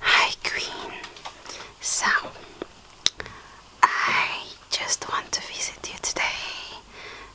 Hi, Queen. So, I just want to visit you today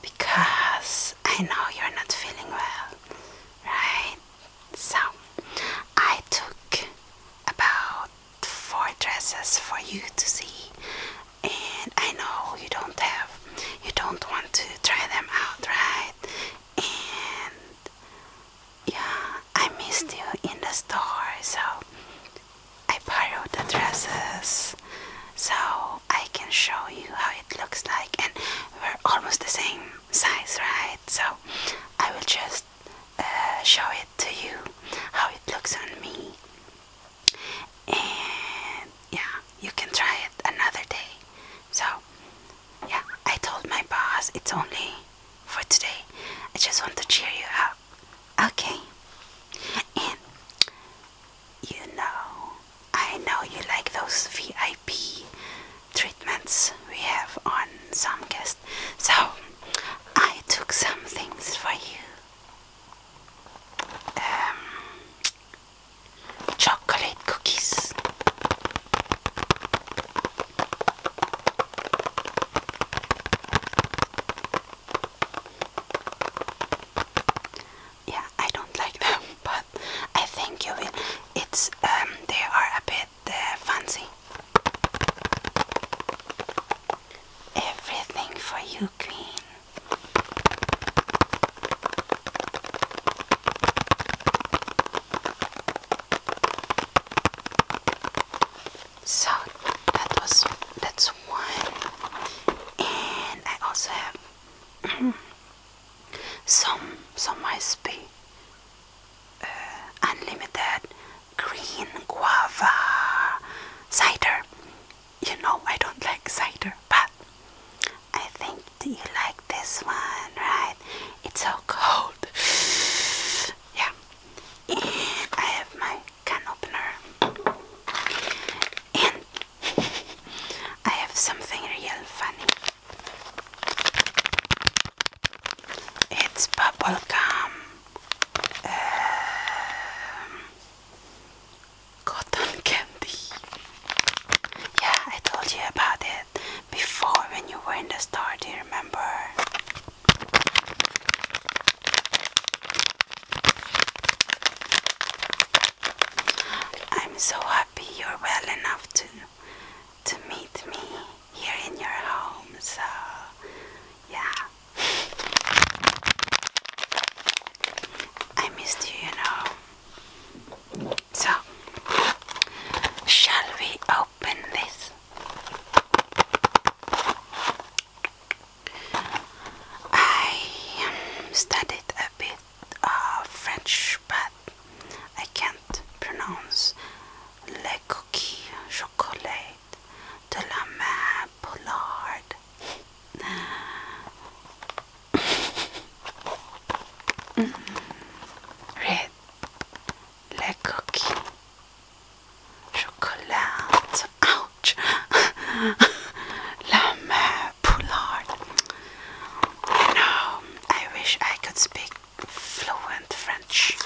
because I know you're not feeling well, right? So, I took about four dresses for you to see, and I know you don't have, you don't want to try them out, right? And yeah, I missed you in the store, so I borrowed the dresses so I can show you how it looks like. And we're almost the same size, right? So I will just uh, show it to you how it looks on me. And yeah, you can try it another day. So yeah, I told my boss it's only for today. I just want to cheer you up. Okay. And you know, I know you like those VIP treatments we have on some guests. So I took some things for you. Um chocolate cookies yeah, I don't like them, but I think you will. It's um, they are a bit uh, fancy. Everything for you, Queen. So that was that's one, and I also have some some recipe uh, unlimited green guava cider. You know I don't like cider, but I think you like this one, right? It's so cold. yeah. I have my can opener. And I have something real funny. It's bubble gum. Um, cotton candy. Yeah, I told you about it before when you were in the store, do you remember? I'm so happy you're well enough to to meet me here in your home, so yeah. I missed you, you know. So, shall we open this? I studied a bit of French, but I can't pronounce le coquille chocolat de la main Pollard. Mm-hmm. Red, like cookie, chocolate, ouch, lame poulard. You know, I wish I could speak fluent French.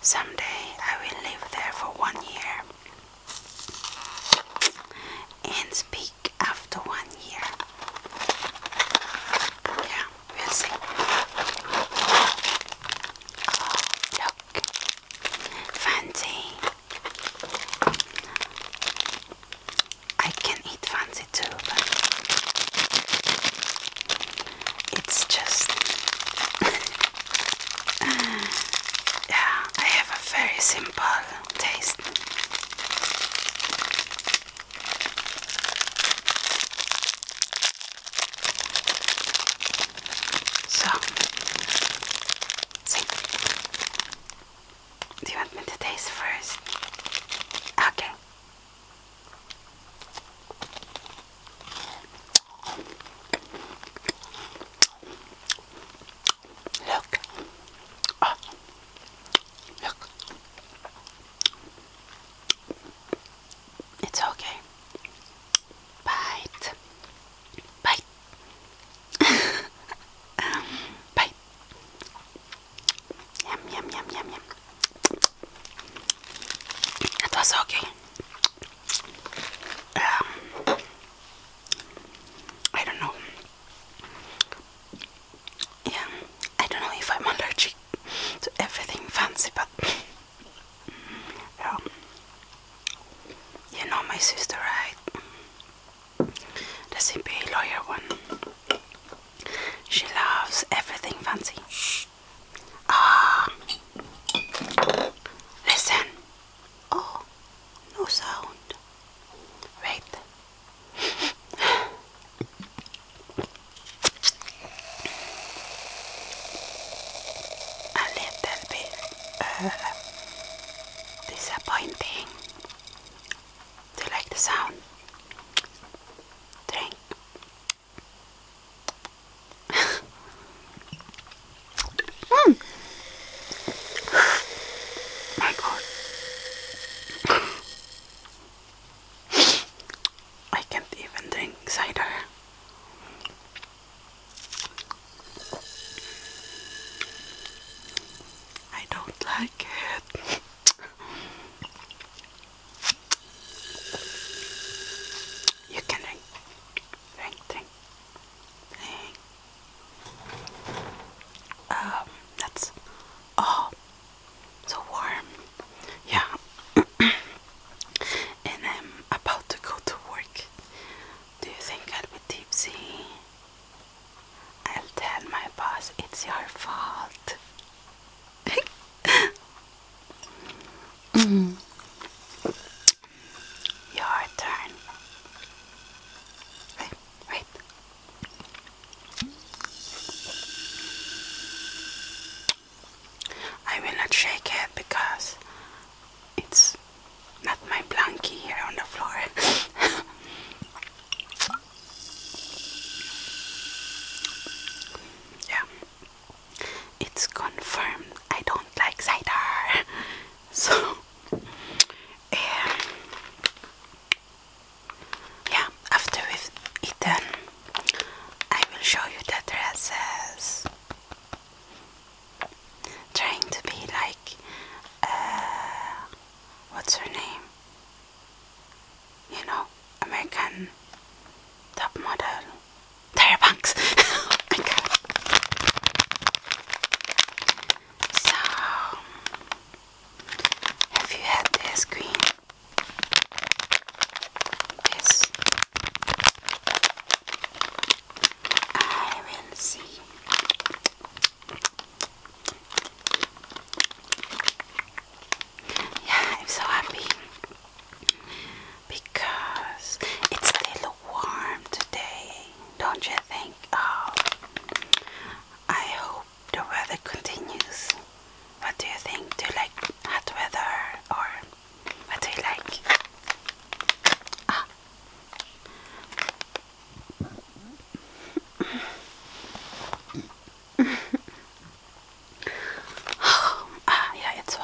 Someday I will live there for one year and speak after one year. Yeah, Fancy. I can eat fancy too, but it's just. yeah, I have a very simple taste. So, same Do you want me to taste first? Okay. Look. Oh. It's okay. Bite. Bite. Bite. Yum, yum, yum, yum, yum. It was okay. Um, I don't know yeah, I don't know if I'm allergic to everything fancy, but yeah. you know my sister, right? The CPA lawyer one. She loves everything fancy. Ah, listen. Oh, no sound. Wait a little bit uh, disappointing. Do you like the sound? Drink. mm. My God. I can't even drink cider. I don't like it. you can drink, drink, drink, drink. Um, that's oh, so warm. Yeah, and I'm about to go to work. Do you think I'll be tipsy? I'll tell my boss it's your fault. Your turn. Wait, wait. I will not shake it because it's not my blankie here on the floor. yeah, it's confirmed. I don't like cider, so um, yeah, after we've eaten, I will show you the dresses. Trying to be like, uh, what's her name? You know, American top model. Tyra Banks. Oh so have you had this green? This. I will see. Yeah, I'm so happy because it's a little warm today, don't you think? Oh, I hope the weather continues. What do you think? Do you like hot weather or what do you like? Ah. ah yeah, it's so,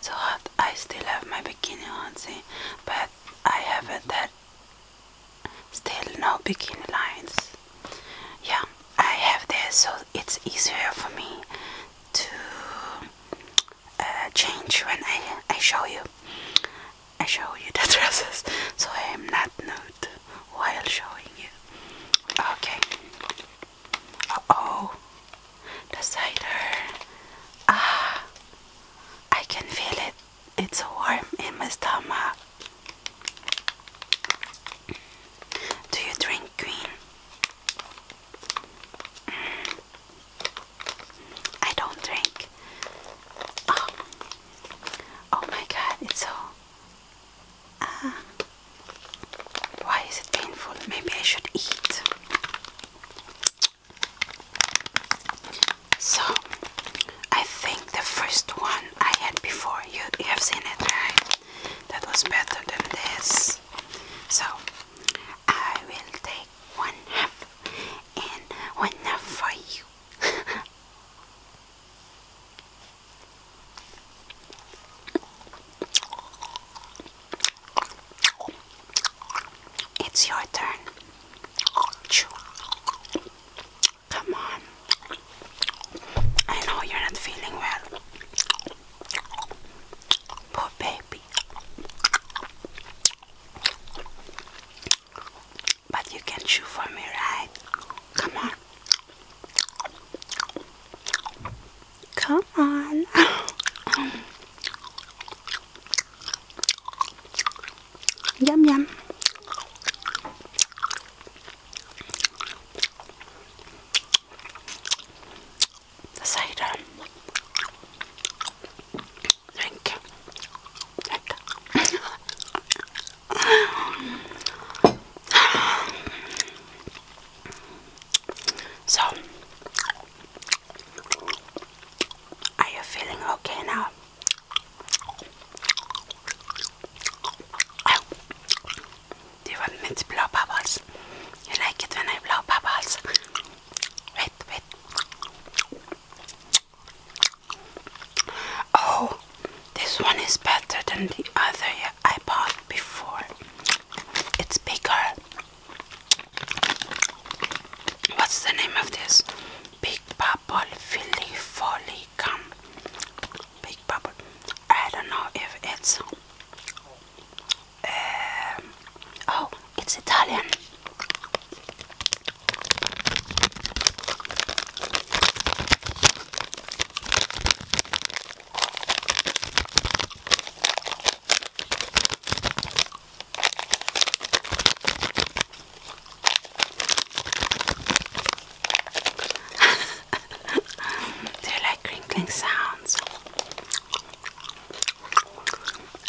so hot. I still have my bikini on, see, but I haven't had Still no bikini lines. Yeah, I have this, so it's easier for me to uh, change when I I show you. I show you the dresses, so I am not nude while showing you. Okay. oh, the cider. Ah, I can feel it. It's warm in my stomach. Do you drink green? Mm. I don't drink. Oh, oh my god, it's so. Uh, why is it painful? Maybe I should eat. So I think the first one I had before you you have seen it right that was better than this. So I will take one half and one half for you. It's your turn. Come on. I know you're not feeling well. Poor baby. But you can chew for me, right? Come on. Come on. Yum yum. The cider. Drink. Drink. so, are you feeling okay now? Oh, want me to blow bubbles? like it when I blow bubbles? Wait, wait. Oh, this one is better than the other I bought before. It's bigger. What's the name of this? Big bubble Philly Folly Gum. Big bubble. I don't know if it's. Um, oh, it's Italian. Do you like crinkling sounds?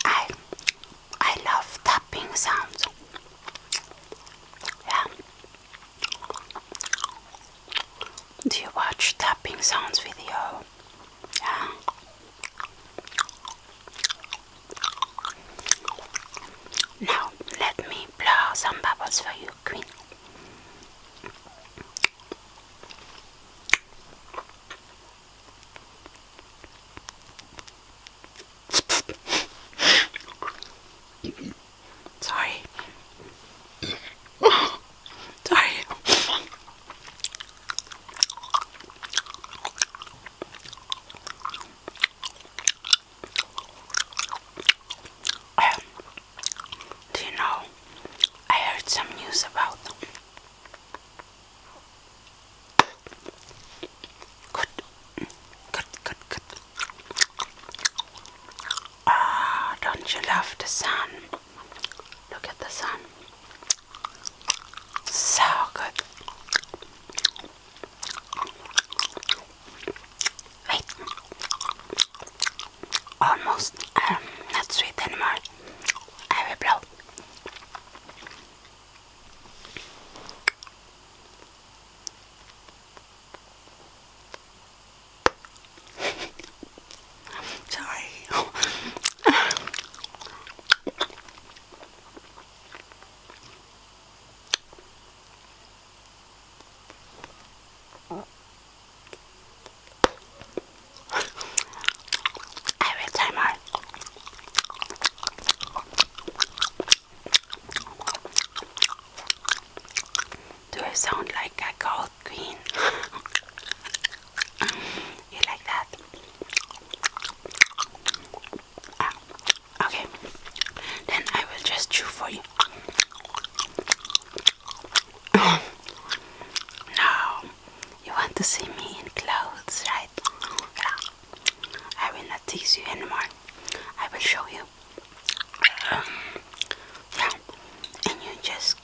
I I love tapping sounds. Yeah. Do you watch tapping sounds video? Yeah. Now, let me blow some bubbles for you, Queen. Sorry. Sorry. Um, do you know? I heard some news about good, good, good, good. Ah, don't you love the sun? Look at the sun. So good. Wait. Almost um, not sweet anymore. I will blow. Sorry. Every time I do I sound like a gold queen? You like that? Ah, okay. Then I will just chew for you. now, you want to see me in clothes, right? I will not tease you anymore. I will show you. yeah, and you just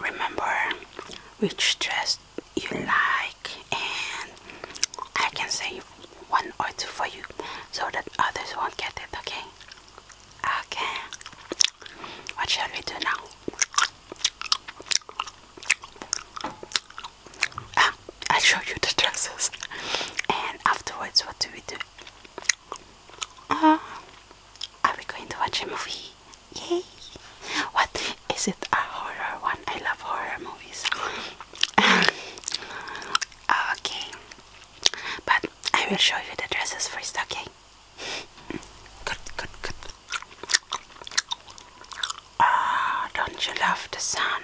remember which dress you like and I can save one or two for you so that others won't get it okay okay what shall we do now ah, I'll show you the dresses and afterwards what do we do ah, are we going to watch a movie Yay! What is it? A horror one? I love horror movies. okay, but I will show you the dresses first. Okay. Good, good, good. Ah, oh, don't you love the sun?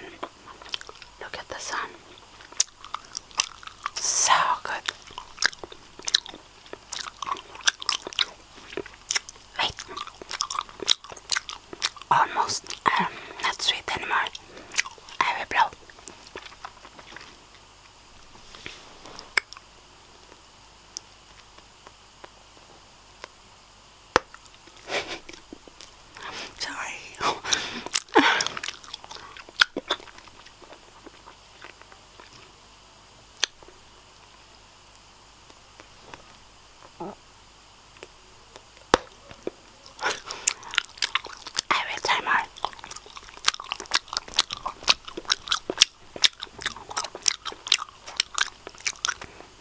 Look at the sun. So good. Wait, almost um, not sweet anymore. I will blow. Sorry. Every time I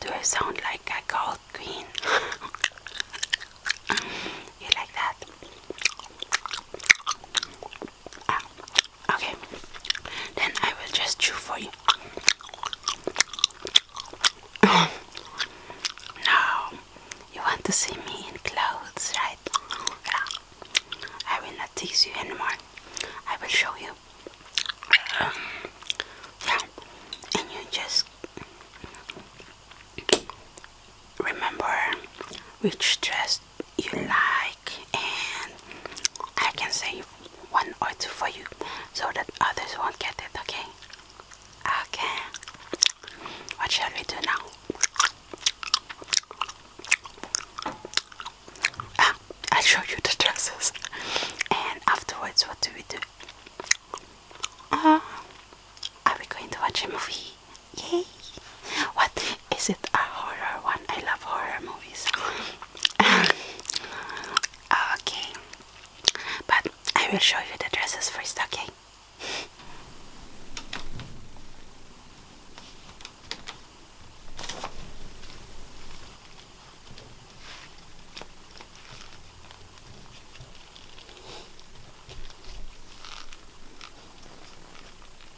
do I sound like a gold queen? you like that? okay, then I will just chew for you. now, you want to see me in clothes, right? I will not tease you anymore. I will show you. yeah, and you just remember which dress you like and I can save one or two for you so that others won't get it okay okay what shall we do now ah, I'll show you the dresses and afterwards what do we do uh, are we going to watch a movie Yay! What is it? A horror one? I love horror movies. okay. But I will show you the dresses first, okay?